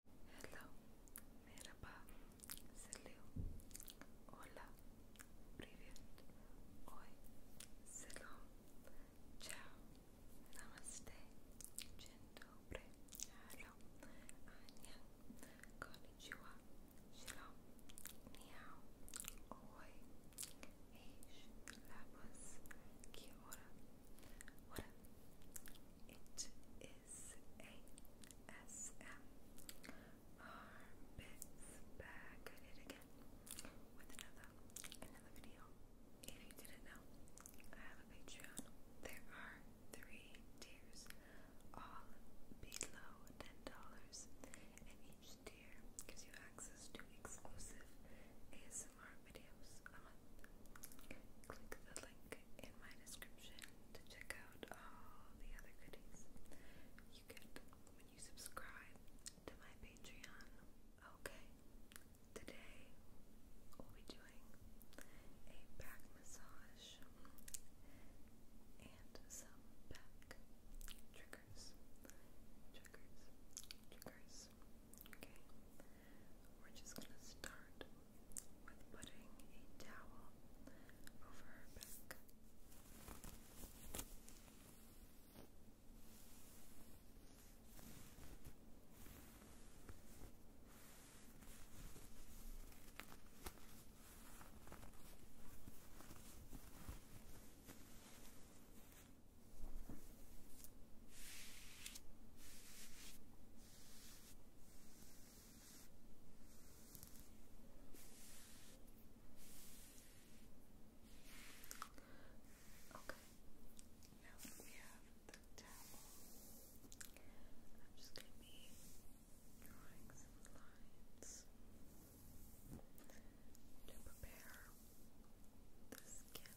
Hello, merhaba, selam, hola, привет, oi, selam, ciao, namaste, dzień dobry, konnichiwa, shalom, ni hao, oi, eish, labas, kia ora, what it is a S M R bits back at it again with another another video. If you didn't know, I have a Patreon. There are three tiers, all below ten dollars, and each tier gives you access to exclusive ASMR videos a month. Click the link in my description to check out all the other goodies you get when you subscribe to my Patreon. Okay, today we'll be doing a back massage and some back triggers. Triggers, triggers. Okay, we're just gonna start with putting a towel over her back. Okay, now we have the towel, I'm just going to be drawing some lines to prepare the skin for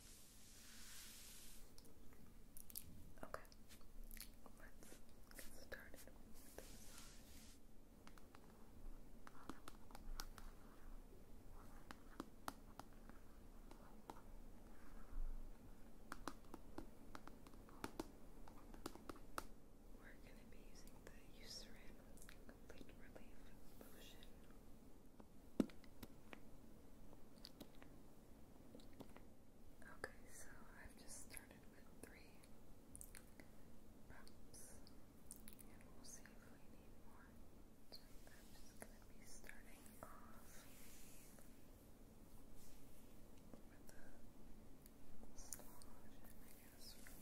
Okay, let's get started We're going to be using the Eucerin Relief Lotion. Okay, so I've just started with three props, and we'll see if we need more. I'm just going to be starting off with a slosh, I guess, from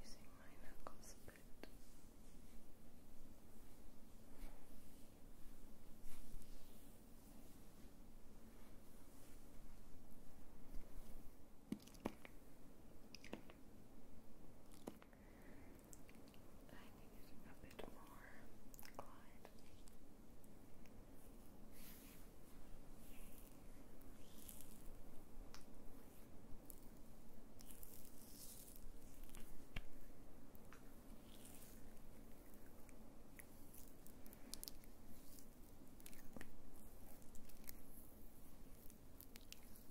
Using my knuckles a bit. I need a bit more glide.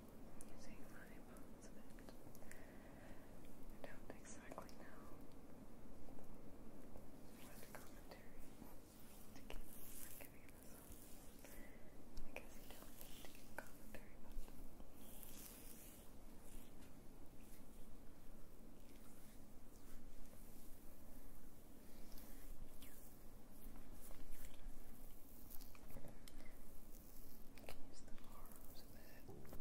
using my parts of it. I don't exactly know what commentary to give. i I guess you don't need to commentary, but. Use the arms a bit. Good.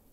Lower back.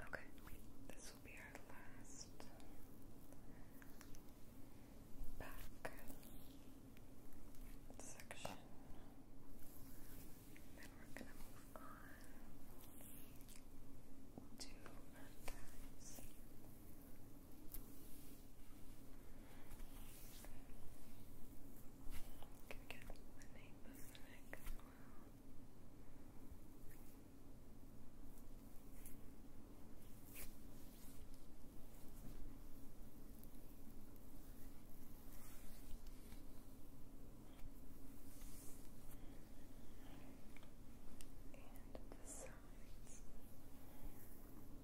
Okay, this will be our last back section. Then we're gonna move on to our thighs. Can we get the name of the neck And the sides.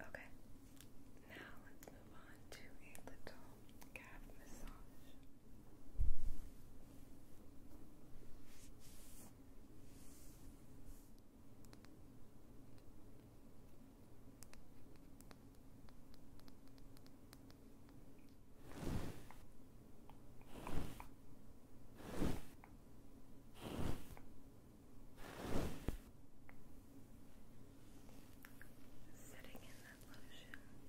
Okay, now let's move on to a little calf massage. Sitting in that lotion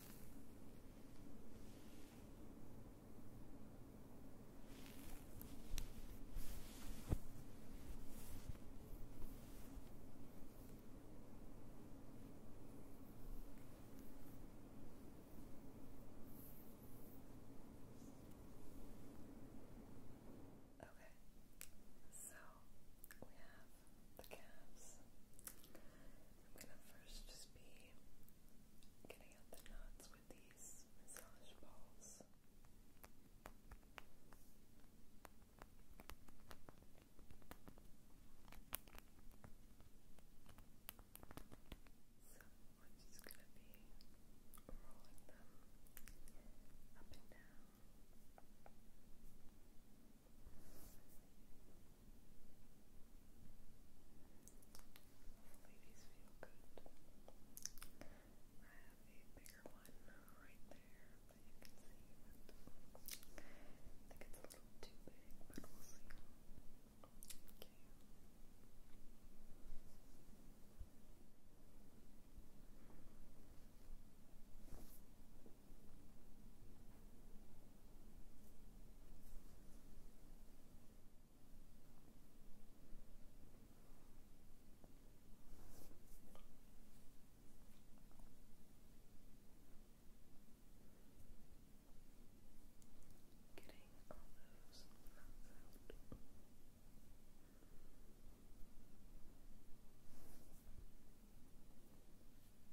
Okay, so we have the calves. I'm gonna first just be getting out the knots with these massage balls. So we gonna be rolling them up and down. Ladies feel good. I have a bigger one right there that you can see, I think it's a little too big, but we'll see. Okay. Getting all those out move on to this calf.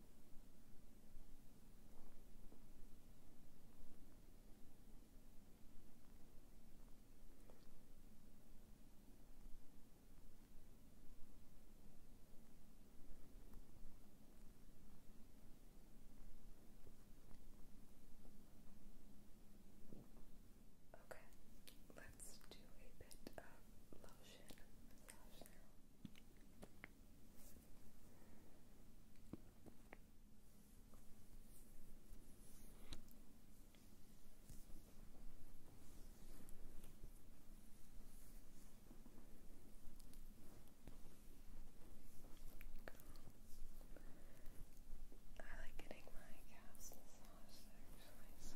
Okay, let's do a bit of lotion I like getting my calves massaged actually, so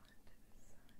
onto the sun. Now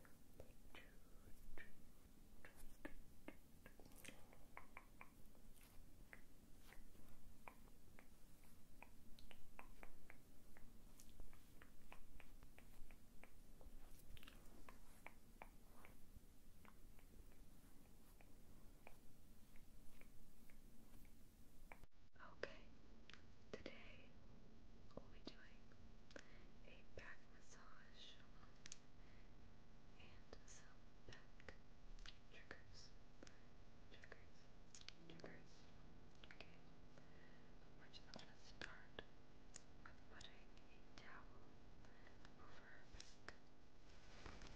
Okay, today we'll be doing a back massage and some back triggers. Triggers. Triggers. Okay. We're just gonna start with putting a towel over her back. Okay.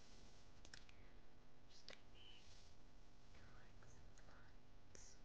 Just taking your legs and lines to prepare the skin. Just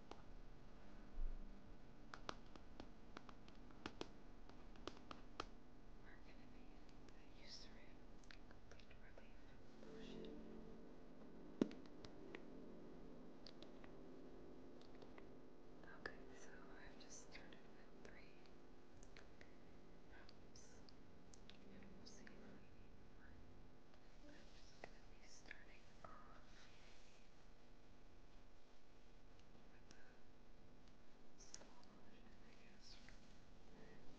Mark an enhanced that used to complete relief potion. Okay, so I've just started with three maps, and we'll see if we need more. I'm just going to be starting off with the small version, I guess, from Okay,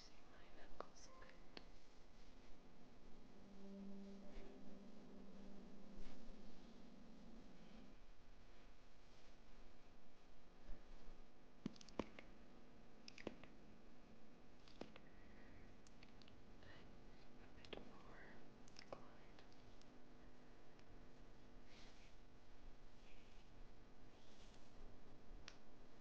you see my knuckles a bit. I'm a bit more inclined. Just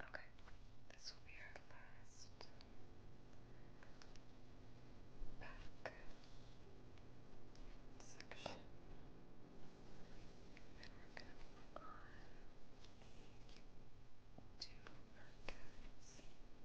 Okay, this will be our last back section. And we're going to move on to mercats. I can get the name of the next one. Mercats.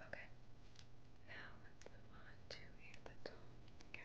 Okay, now let's move on to a little massage.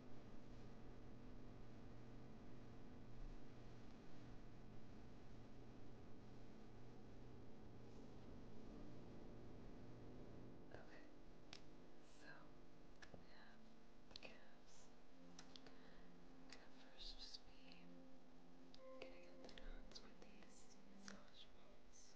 Okay, so we have the calves. Gonna first just be getting at the knots with these massage balls. Okay.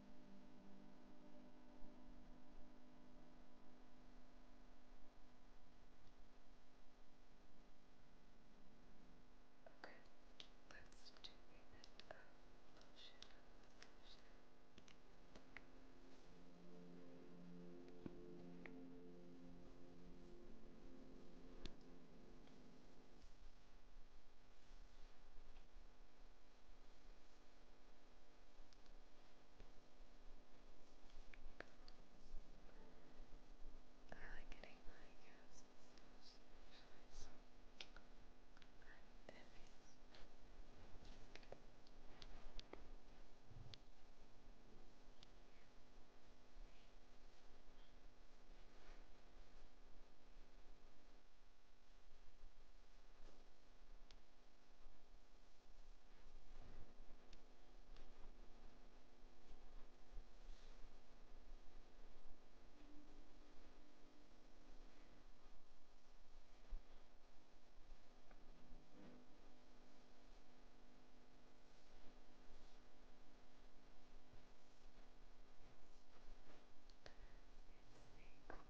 Okay, let's do a bit of motion. motion. Okay. I like getting my gas I Let's think